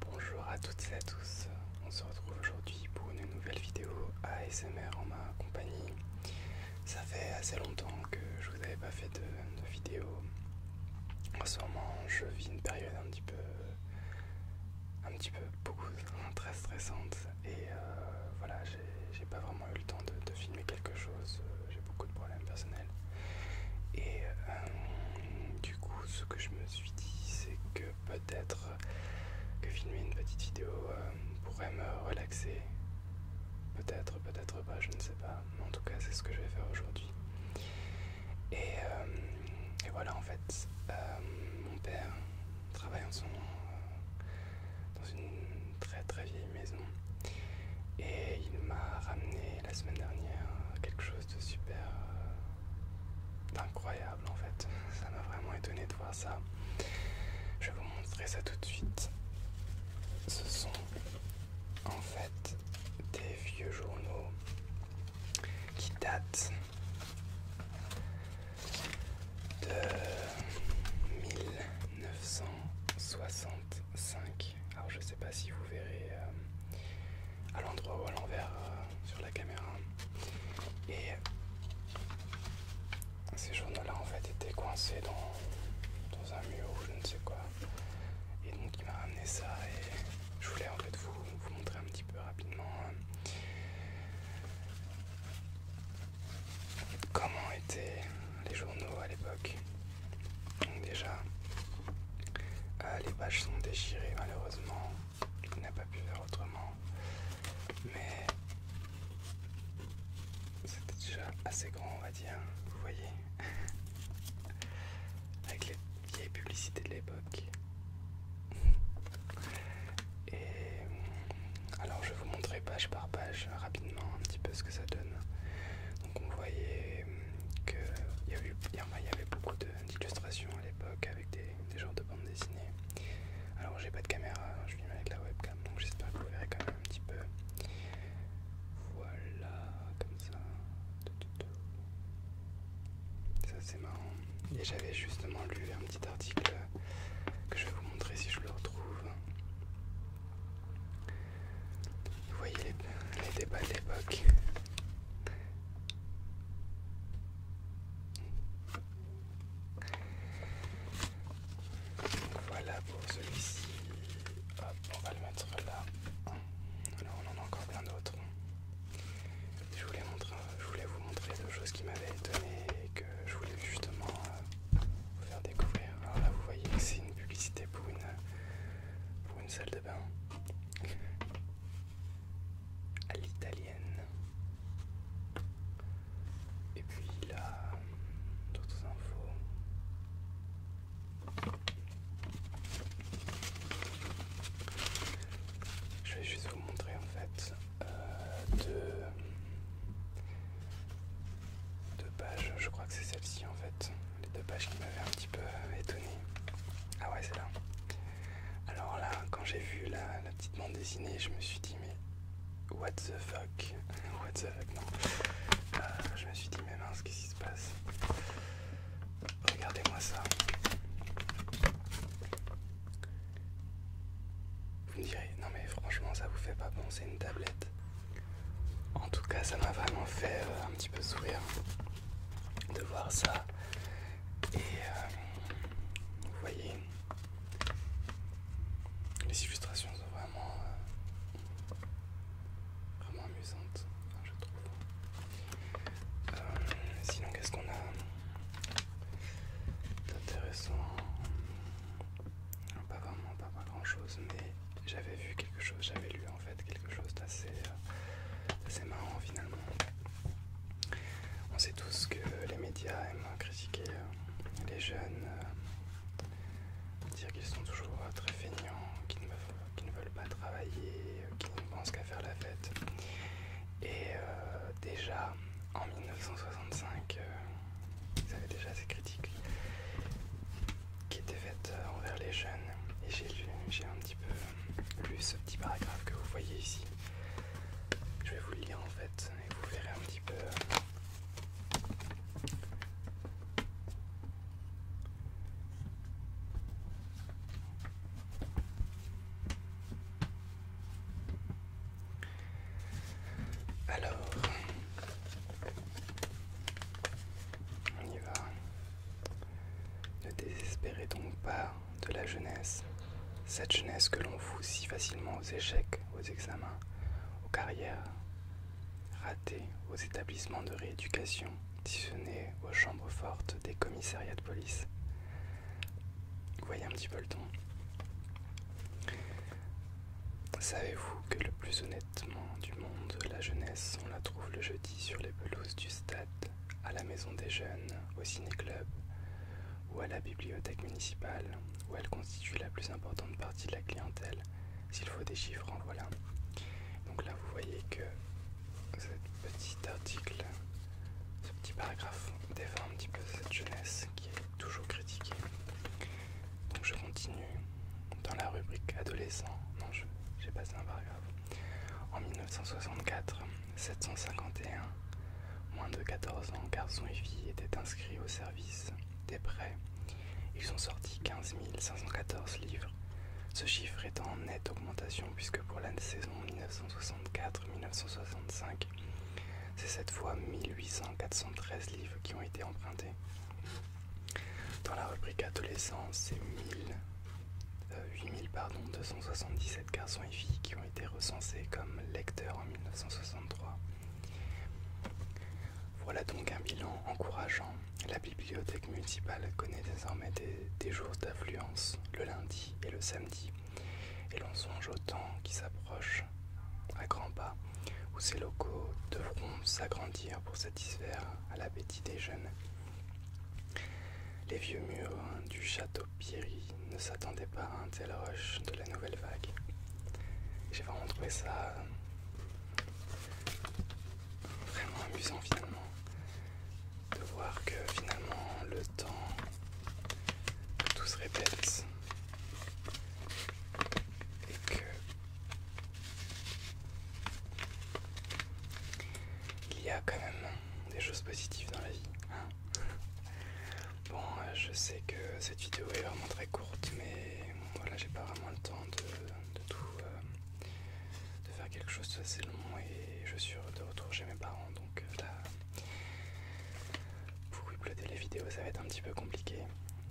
Bonjour à toutes et à tous, on se retrouve aujourd'hui pour une nouvelle vidéo ASMR en ma compagnie. Ça fait assez longtemps que je vous avais pas fait de, vidéo. En ce moment, je vis une période un petit peu, un petit peu beaucoup très stressante et euh, voilà, j'ai pas vraiment eu le temps de filmer quelque chose. J'ai beaucoup de problèmes personnels et euh, du coup, ce que je me suis dit, c'est que peut-être que filmer une petite vidéo euh, pourrait me relaxer. Peut-être, peut-être pas, je ne sais pas. mais En tout cas, c'est ce que je vais faire aujourd'hui. Et, euh, voilà, en fait, mon père travaille en son, dans une très très vieille maison. Et il m'a ramené la semaine dernière quelque chose super. Euh, incroyable en fait. Ça m'a vraiment étonné de voir ça. Je vais vous montrer ça tout de suite. Ce sont en fait des vieux journaux qui datent de 1965. Alors je sais pas si vous verrez euh, à l'endroit ou à l'envers euh, sur la caméra. Et ces journaux-là en fait étaient coincés dans, un mur ou je ne sais quoi. Et donc il m'a ramené ça et je voulais en fait vous, montrer un petit peu rapidement euh, comment étaient les journaux à l'époque déjà, euh, les pages sont déchirées malheureusement. On n'a pas pu faire autrement. Mais c'était déjà assez grand on va dire, vous voyez. Avec les vieilles publicités de l'époque. Et euh, alors je vais vous montrer page par page rapidement un petit peu ce que ça donne. Donc on voyait hum, qu'il y, avait, y avait beaucoup d'illustrations à l'époque avec des, genres de bandes dessinées. Alors j'ai pas de caméra, je filme avec la webcam, donc j'espère que vous verrez quand même un petit peu. Voilà, comme ça. Ça c'est marrant. Et j'avais justement lu un petit article que je vais vous montrer si je le retrouve. Vous voyez les, débats de l'époque. Voilà pour celui-ci. on va le mettre là. Là, on en a encore plein d'autres. Je voulais, vous montrer deux choses qui m'avaient étonné et que je voulais justement euh, vous faire découvrir. Alors là, vous voyez que c'est une publicité pour une, une salle de bain à l'italienne. Et puis là, d'autres infos. Je vais juste vous montrer en fait euh, deux pages, je crois que c'est celle-ci en fait les deux pages qui m'avaient un petit peu euh, étonné. Ah ouais, c'est là. Alors là, quand j'ai vu la, petite bande dessinée, je me suis dit, mais what the fuck What the fuck, non. Euh, je me suis dit, mais mince, qu'est-ce qui se passe Regardez-moi ça. Vous me direz, non mais franchement, ça vous fait pas bon c'est une tablette en tout cas, ça m'a vraiment fait euh, un petit peu sourire de voir ça. Et euh, vous voyez, les illustrations sont vraiment, euh, amusantes, hein, je trouve. sinon, qu'est-ce qu'on a d'intéressant pas vraiment, pas grand chose, mais j'avais vu quelque chose, j'avais lu en fait quelque chose d'assez euh, marrant finalement. On sait tous que les médias aiment critiquer euh, les jeunes, euh, dire qu'ils sont toujours très feignants, qu'ils ne, veulent pas travailler, qu'ils ne pensent qu'à faire la fête. Et déjà en 1965, ils avaient déjà ces critiques qui était faite euh, envers les jeunes. Et j'ai un petit peu euh, lu ce petit paragraphe que vous voyez ici. Je vais vous le lire en fait et vous verrez un petit peu. Euh. Alors, on y va. Ne désespérez donc pas de la jeunesse, cette jeunesse que l'on fout si facilement aux échecs, aux examens, aux carrières ratées, aux établissements de rééducation, si aux chambres fortes des commissariats de police. voyez un petit peu le ton. Savez-vous que le plus honnêtement du monde, la jeunesse, on la trouve le jeudi sur les pelouses du stade, à la maison des jeunes, au ciné-club ou à la bibliothèque municipale, où elle constitue la plus importante partie de la clientèle. S'il faut des chiffres, en voilà. Donc là, vous voyez que ce petit article, ce petit paragraphe défend un petit peu cette jeunesse qui est toujours critiquée. Donc je continue dans la rubrique adolescents. Non, j'ai passé un paragraphe. En 1964, 751, moins de 14 ans, garçons et filles étaient inscrits au service des prêts. Ils ont sorti 15 514 livres. Ce chiffre est en nette augmentation puisque pour la saison 1964-1965, c'est cette fois 18413 livres qui ont été empruntés. Dans la rubrique adolescence, c'est 8277 8000 euh, pardon, 277 garçons et filles qui ont été recensés comme lecteurs en 1963. Voilà donc un bilan encourageant. La bibliothèque municipale connaît désormais des jours d'affluence le lundi et le samedi. Et l'on songe au temps qui s'approche à grands pas, où ces locaux devront s'agrandir pour satisfaire à l'appétit des jeunes. Les vieux murs du château Pierry ne s'attendaient pas à un tel rush de la nouvelle vague. J'ai vraiment trouvé ça vraiment amusant finalement de voir que finalement le temps que tout se répète et que il y a quand même des choses positives dans la vie. Hein. bon, euh, je sais que cette vidéo est vraiment très courte, mais voilà, j'ai pas vraiment le temps de, tout, euh, de faire quelque chose assez long et je suis de retour chez mes parents, donc euh, là, pour uploader les vidéos ça va être un petit peu compliqué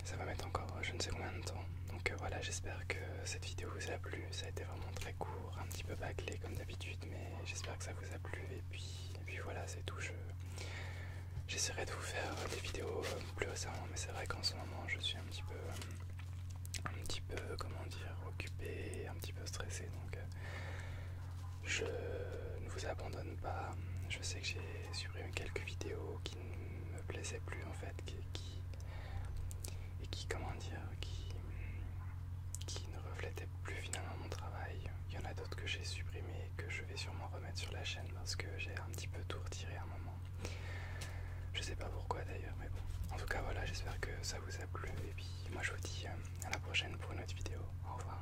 ça va mettre encore je ne sais combien de temps donc euh, voilà j'espère que cette vidéo vous a plu ça a été vraiment très court un petit peu bâclé comme d'habitude mais j'espère que ça vous a plu et puis, voilà c'est tout je j'essaierai de vous faire des vidéos euh, plus récemment mais c'est vrai qu'en ce moment je suis un petit peu un petit peu comment dire occupé un petit peu stressé donc euh, je ne vous abandonne pas je sais que j'ai supprimé quelques vidéos qui ne me plaisaient plus en fait, qui, et qui comment dire, qui, qui ne reflétaient plus finalement mon travail. Il y en a d'autres que j'ai supprimées et que je vais sûrement remettre sur la chaîne parce que j'ai un petit peu tout retiré à un moment. Je sais pas pourquoi d'ailleurs, mais bon. En tout cas voilà, j'espère que ça vous a plu et puis moi je vous dis euh, à la prochaine pour une autre vidéo. Au revoir.